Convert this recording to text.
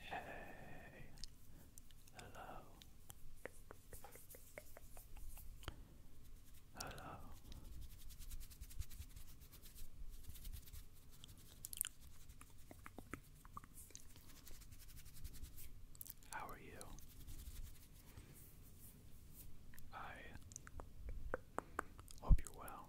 Hey, hello, hello, how are you? I hope you're well.